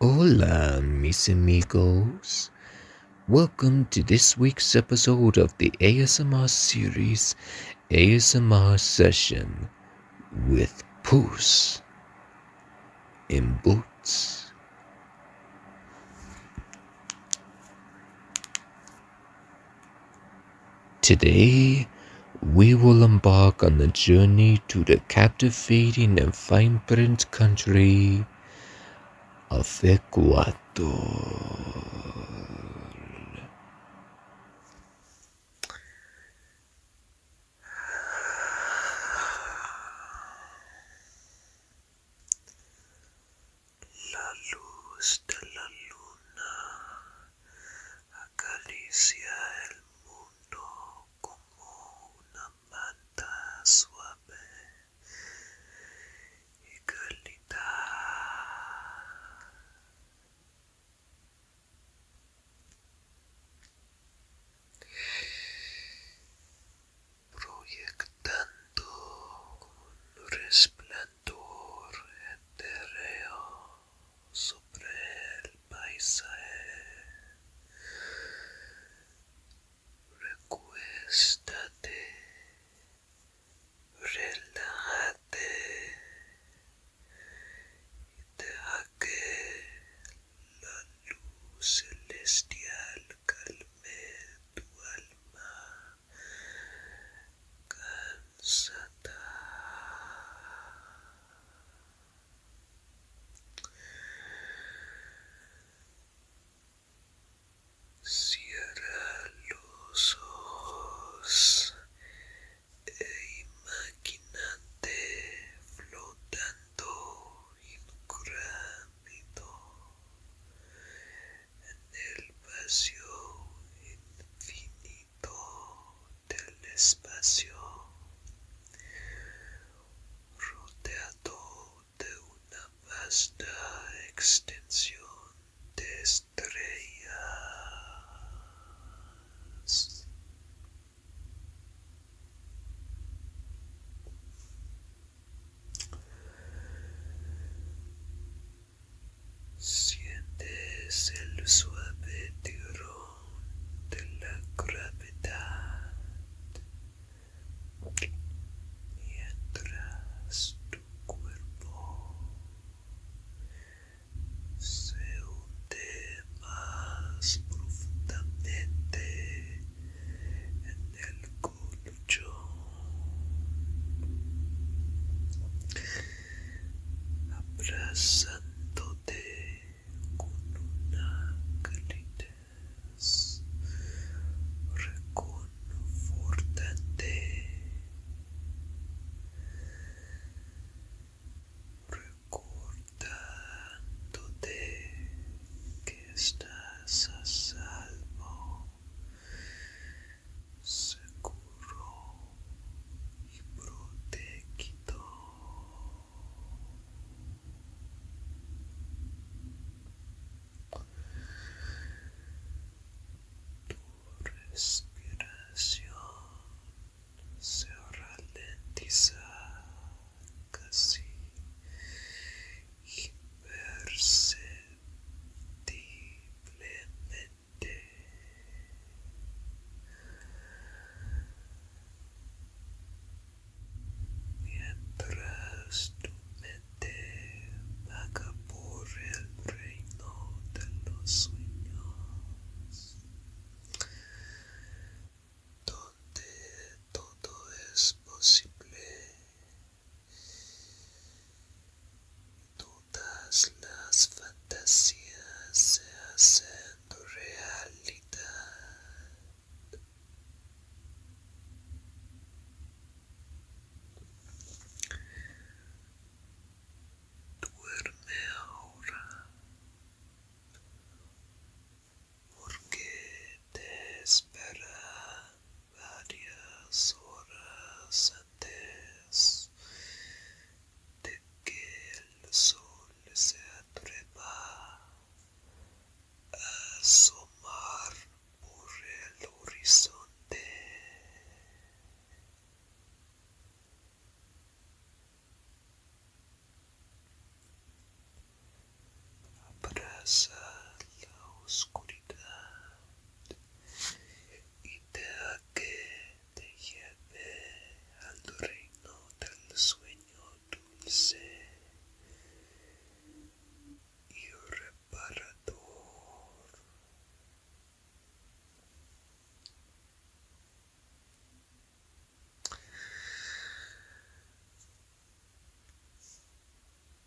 Hola, mis amigos. Welcome to this week's episode of the ASMR series ASMR Session with Poos in Boots. Today, we will embark on a journey to the captivating and fine print country of Ecuador. La luz de la luna acaricia el mundo. como una manta suave y cálida. Proyectando un resplandor etéreo sobre el paisaje. Recuéstate, relájate y deja que la luz celestial calme tu alma cansada. Cierra los ojos e imagínate flotando incurable en el vacío infinito del espacio, rodeado de una vasta extensión de estrellas. Sientes el suave tirón de la gravedad mientras tu cuerpo se hunde más profundamente en el colchón abrazándote con una calidez reconfortante recordándote que estás a salvo seguro y protegido. Tu respiración se ralentiza casi imperceptiblemente mientras tu mente vaga por el reino de los sueños donde todo es posible Todas las fantasías se hacen realidad. Duerme ahora porque te espera varias horas antes de que el sol se atreva a asomar por el horizonte. Abraza la oscuridad y deja que te lleve al reino del sueño dulce y reparador.